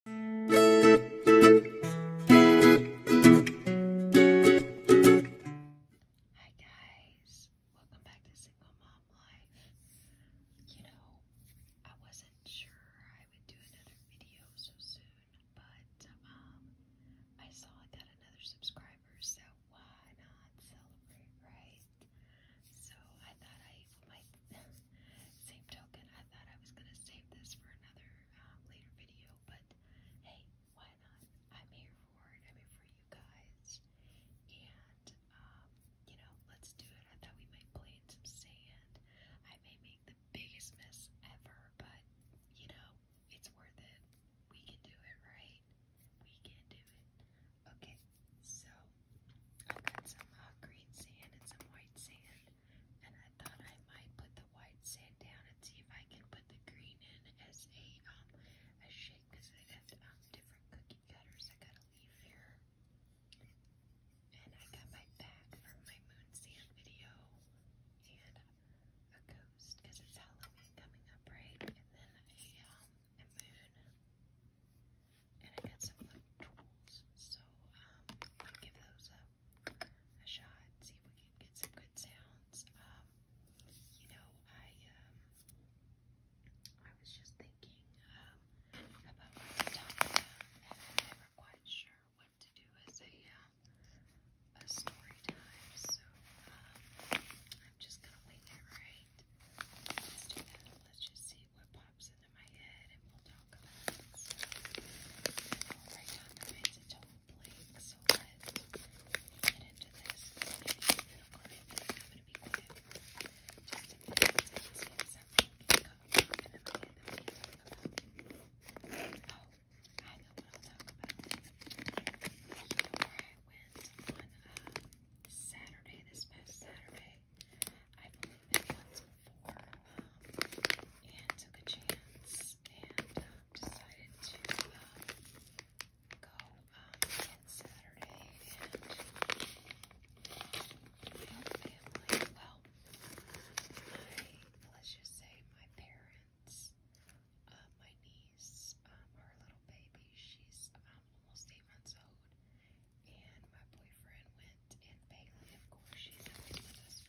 Hi guys, welcome back to Single Mom Life. You know, I wasn't sure I would do another video so soon, but um, I saw I got another subscriber, so why not celebrate, right? So I thought I same token, I thought I was gonna save this for another uh, later video, but hey, why not? I'm here for it. I'm here for you guys, and um, you know, let's do it. I thought we might play in some sand. I may make the biggest mess ever, but you know, it's worth it. We can do it, right? We can do it. Okay, so I've got some uh, green sand and some white sand, and I thought I might put the white sand down and see if I can put the green in as a um a shape because I have um, different cookie cutters. I got a leaf here, and I got my bag from my moon sand video, and a ghost because it's Halloween coming up, right? And then a um a moon and I got some little tools, so um, give those a, shot, see if we can get some good sounds. Um, you know, I um, I was just thinking um, about my stomach, and I'm never quite sure what to do as a a story time, so I'm just gonna wing it, right? Let's do that. Let's just see what pops in my head and we'll talk about it. I'll write down the names until So let's get into this. I'm going to be quiet. Just in the Oh, I know what I'll talk about. So, I went on uh, Saturday, this past Saturday, I've only been once before and took a chance and decided to go on Saturday and my family, well, let's just say my parents, my niece, um, little baby, she's i almost eight months old, and my boyfriend went and Bailey, of course, she's always with us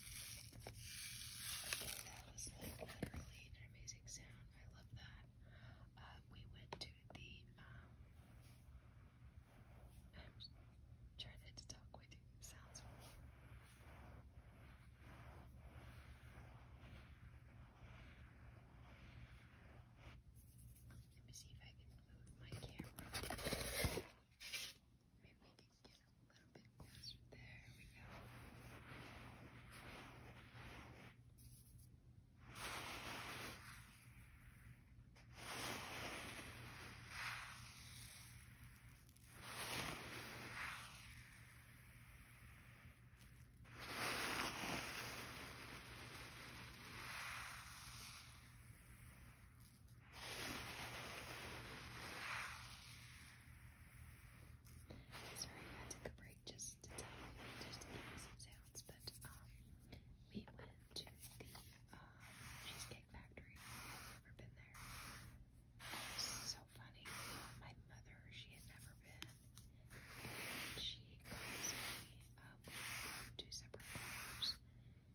that was like literally an amazing sound. I love that. we went to the, um, to talk with you. Sounds let me see if I can move my camera get a little bit faster. There we go. There we go. Sorry, I took a break just to give you some sounds, but um, we went to the uh, Cheesecake Factory. never been there. so funny. My mother, she had never been, she calls me, two separate cars.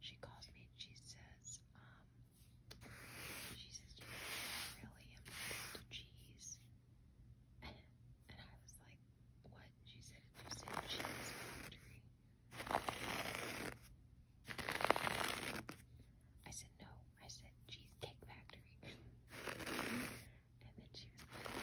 She calls me and she says, um, she says, You really am cheese. And, I was like, What? She said, You cheese factory. I said, No, I said cheesecake factory. and then she was like,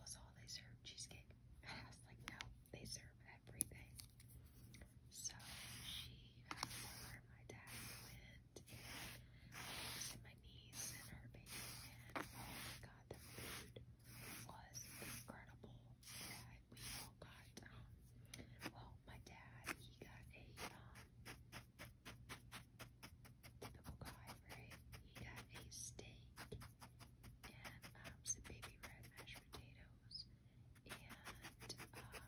also, they serve cheesecake. I was like, no, they serve everything. So she my dad went, and my niece and her baby, and oh my the food was incredible. we all got, um, well, my dad, he got a, um, double guy, right? He got a steak and um, some baby red mashed potatoes, and um,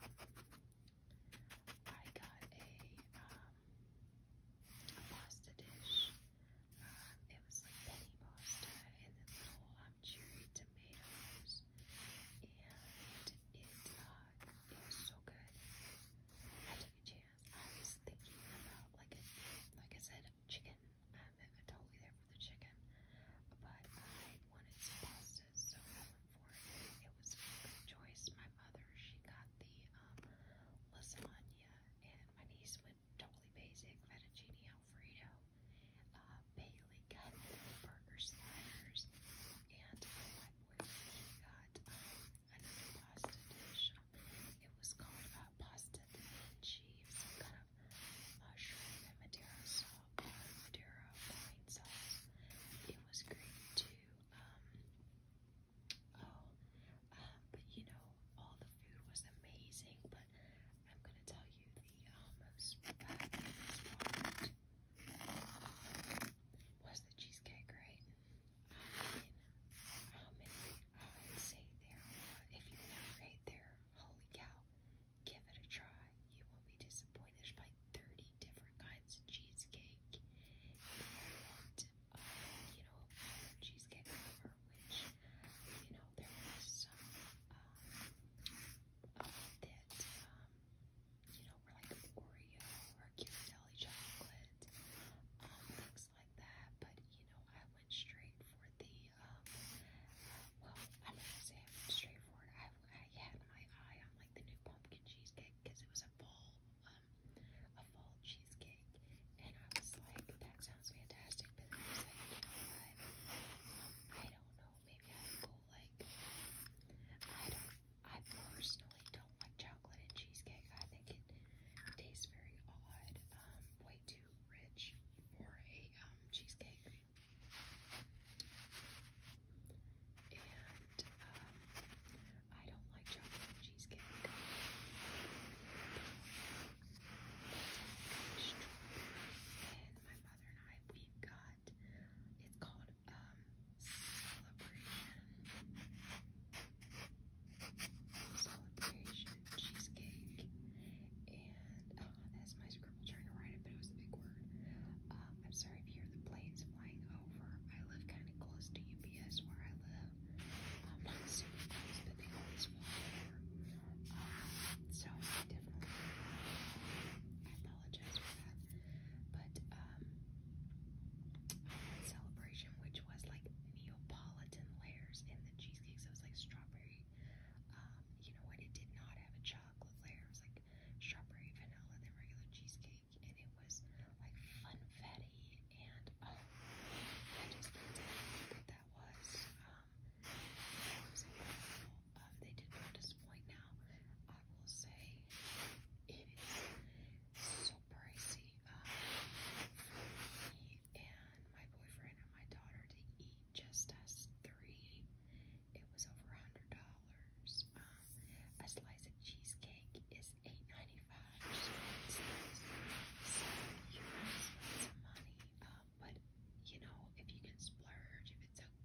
I got a um a pasta dish. Um, it was like penny pasta and then little um cherry tomatoes, and it uh, it was so good. I had to I was thinking about like like I said, chicken. I'm, um, totally there for the chicken, but I wanted some pasta, so for it. was a good choice. My mother, she got the um, lasagna, and my niece went totally basic fettuccine alfredo. Uh, Bailey got burger sliders, and my boyfriend got um, pasta dish. It was called uh, pasta di vinci, some kind of mushroom uh, and Madeira sauce, or uh, Madeira wine sauce. It was great too. Um, oh, um, but you know, all the food was amazing. But I'm gonna tell you the um, most fabulous part was the cheesecake, right? I mean, I would say there, if you never ate there, holy cow, give it a try. You will not be disappointed by 30 different kinds of cheesecake. you know, cheesecake cover, which, you know, there some that, um, you you know, like Oreo or Ghirardelli chocolate, um, things like that. But you know, I went straight for the um, well, I'm not gonna say straight for it. I, had my eye on like the new pumpkin cheesecake because it was a fall, um, a fall cheesecake, and I was like, that sounds fantastic. But I don't know. Maybe I would go like I personally don't like chocolate and cheesecake. I think it tastes very odd, um, way too rich for a um, cheesecake. And um, I don't like chocolate and cheesecake. And my mother and I, we've got, it's called um, celebration, celebration cheesecake, and that's my scribble trying to write it, but it was a big word. Um, I'm sorry if you hear the planes flying over. I live kind of close to UPS where I live. Um, not super close, but they always fly over. Um, so definitely, apologize for that. But um, I had celebration, which was like Neapolitan layers in the cheesecake. So it was like strawberry. Um, you know what? It did not have a chocolate layer. It was like strawberry vanilla than regular cheesecake, and it was like funfetti. And um, I just didn't know what that was. Um, it was incredible. Um, they did not disappoint now. I will say it is so pricey uh, me and my boyfriend and my daughter to eat just us three. It was over a hundred dollars. Um, a slice of cheesecake is eight ninety five. So you guys spend some money, uh, but you know if you can splurge, if it's okay.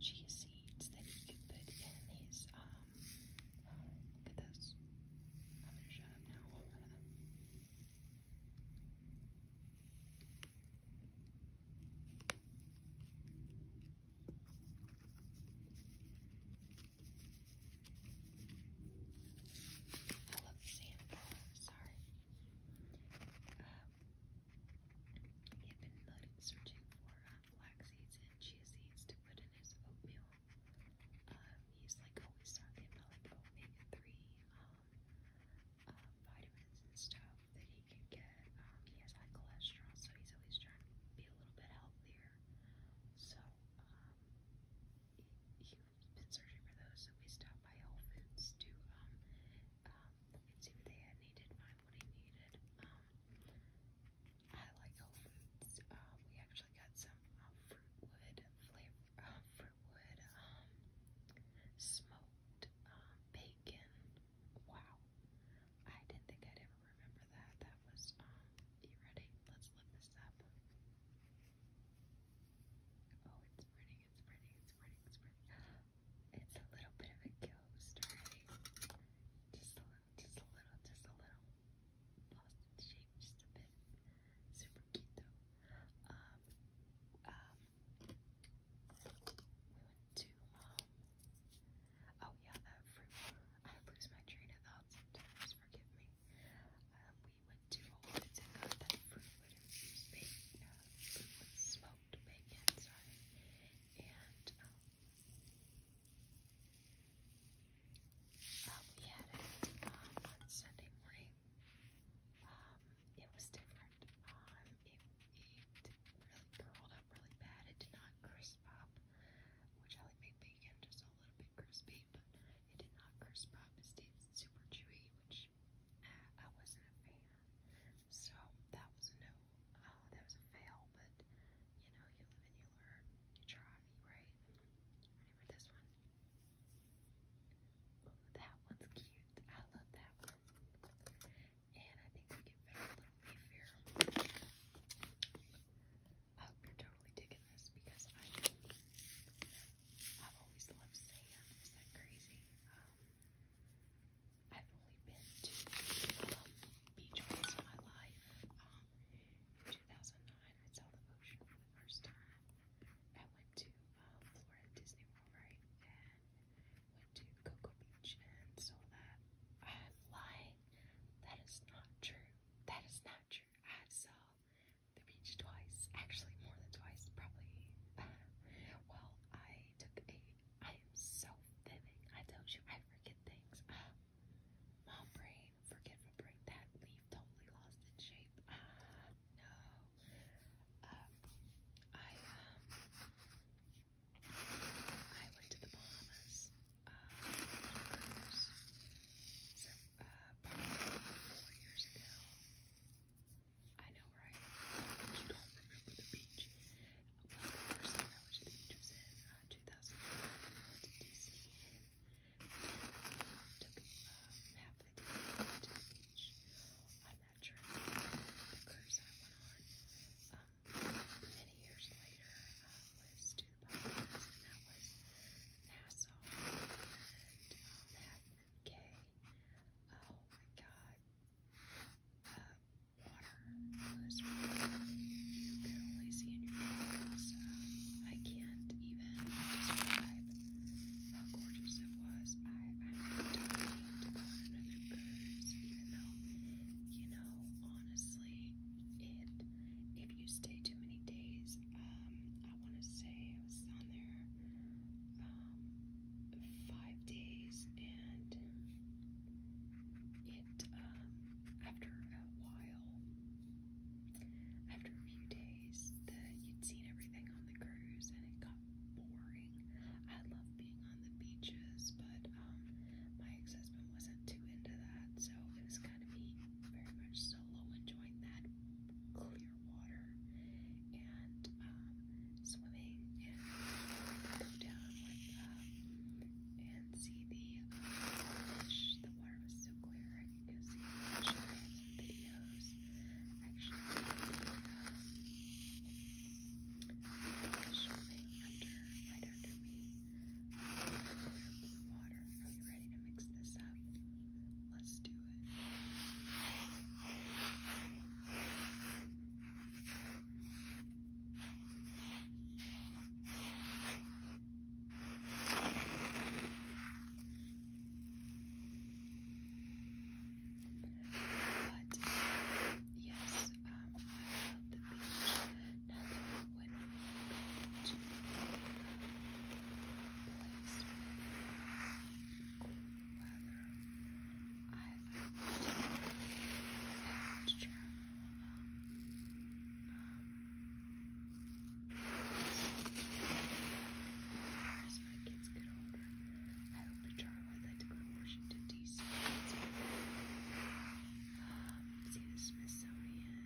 chia seeds that he could put in his, um, look at this. I'm gonna shut up now. I love Santa. Sorry. Uh, he had been searching for uh, flax seeds and chia seeds to put in his oatmeal. Um, he's like always talking about like omega three um, uh, vitamins and stuff that he can get. Um, he has high cholesterol, so he's always trying to be a little bit healthier. So um, he, he's been searching for those. So we stopped by Whole Foods to um, um, you can see what they had needed, buy what he needed. Um, I like Whole Foods. Um, we actually got some uh, Fruitwood flavor, uh, Fruitwood, um, smoked um, bacon. Wow. I didn't think I'd ever remember that. That was, um, you ready? Let's look this up. Oh, it's pretty, it's pretty, it's it's pretty, a little bit of a ghost, Just a little, just a little, just a little. Boston shape, just a bit. Super cute though. Um, um, we went to, um, oh yeah, that fruit. I lose my train of thought sometimes, forgive me. Um, we went to Whole Foods and that fruit would infused bacon, fruit would smoke cooked bacon, sorry, and um, uh, we had it um, on Sunday morning. Um, it was different. Um, it, it really curled up really bad. It did not crisp up, which I like my bacon just a little bit crispy, but it did not crisp up. It stayed super chewy, which I wasn't a fan. So that was no, oh, that was a fail, but you know, you live and you learn, you try, right? Ready this one? that one's cute. I love that one. And I think we can fit little leaf here. I hope you're totally digging this because I I've always loved sand. Is that crazy? Um, I've only been to beach parties my life. in um, 2009, I saw the ocean for the first time. I went to uh, Florida Disney World, And went to Cocoa Beach and saw that. I'm lying. That is not true. That is not true. I saw beach twice, actually more than twice, probably. well, I took a. I am so vivid. I told you I forget things. mom brain, forgetful brain. That leaf totally lost its shape. no. Um, I um, I went to the Bahamas. Uh, uh, four years ago. I know, right? You don't remember the beach. I went to the beach in uh, I went to D.C. and took half the day to the beach on that trip. The I went on many years later uh, was that was Nassau. K. Oh my god. Uh, water was you can only see in your photos. Uh, I can't even describe how gorgeous it was. I, I'm dying to go on another cruise, even though, you know, honestly, it, if you stay too many days, um, I want to say I was on there um, five days, and it um, after a while, after a few days, the, you'd seen everything on the cruise, and it got boring. I love being on the beaches, but um, my ex-husband wasn't too into that, so it was kind of me very much solo enjoying that clear underwater and um, swimming and go down with um, and see the uh, fish. The water was so clear I could go see the fish. I videos actually um, swimming under right under me. Um, blue water. Are you ready to mix this up? Let's do it. But yes, um, I love the beach. Nothing would be I like the texture um, as my kids get older, I will to go to Washington, D.C. Smithsonian.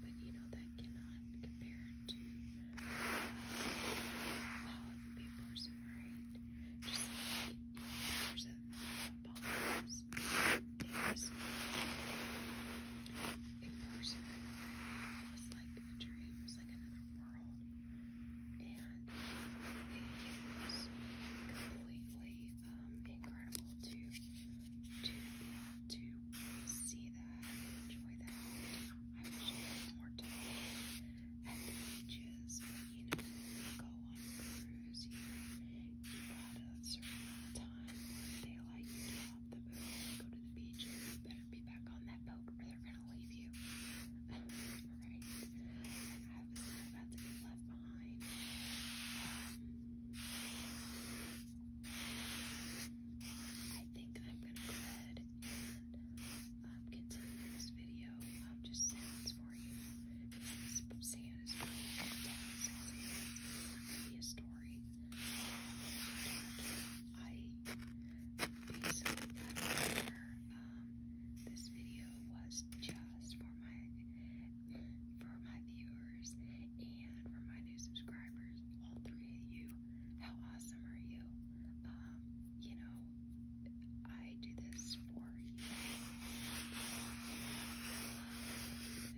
but you know that cannot compare to all of the papers, right? Just like papers of politics, is a person it was like a dream, it was like another world, and it is completely um, incredible to to be see that enjoy that. I wish I more time at the beaches, you know, go on cruise, you, you got a certain amount of time where they the boat go to the beach, better be back on that boat or they're going to leave you. right? I was about to be left behind. Um, I think I'm going to go ahead and um, continue this video um, just sounds for you. Because is a story. I basically um, this video was just for my for my viewers and for my new subscribers all three of you. How awesome are you? Um, you know, I do this for videos,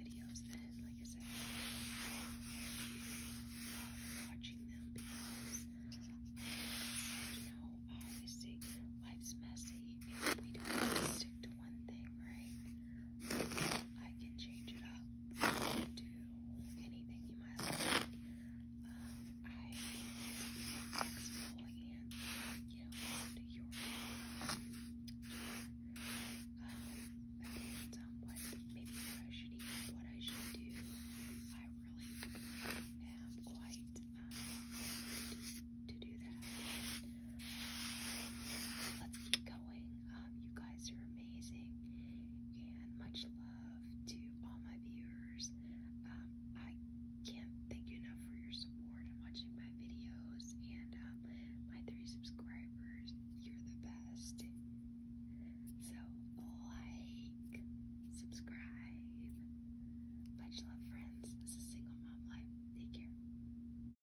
and like I said, I watching them you know, obviously life's messy and we don't stick one thing, right? I can change it up to anything you might like. Um, I am flexible and, you know, to your um, I think what maybe what I should eat, what I should do. I really am quite um, to do that. Let's keep going. Um, you guys are amazing, and much love to all my viewers. Um, I can't thank you enough for your support and watching my videos, and um, my three subscribers. You're the best. So like, subscribe. Much love, friends. This is Single Mom Life. Take care.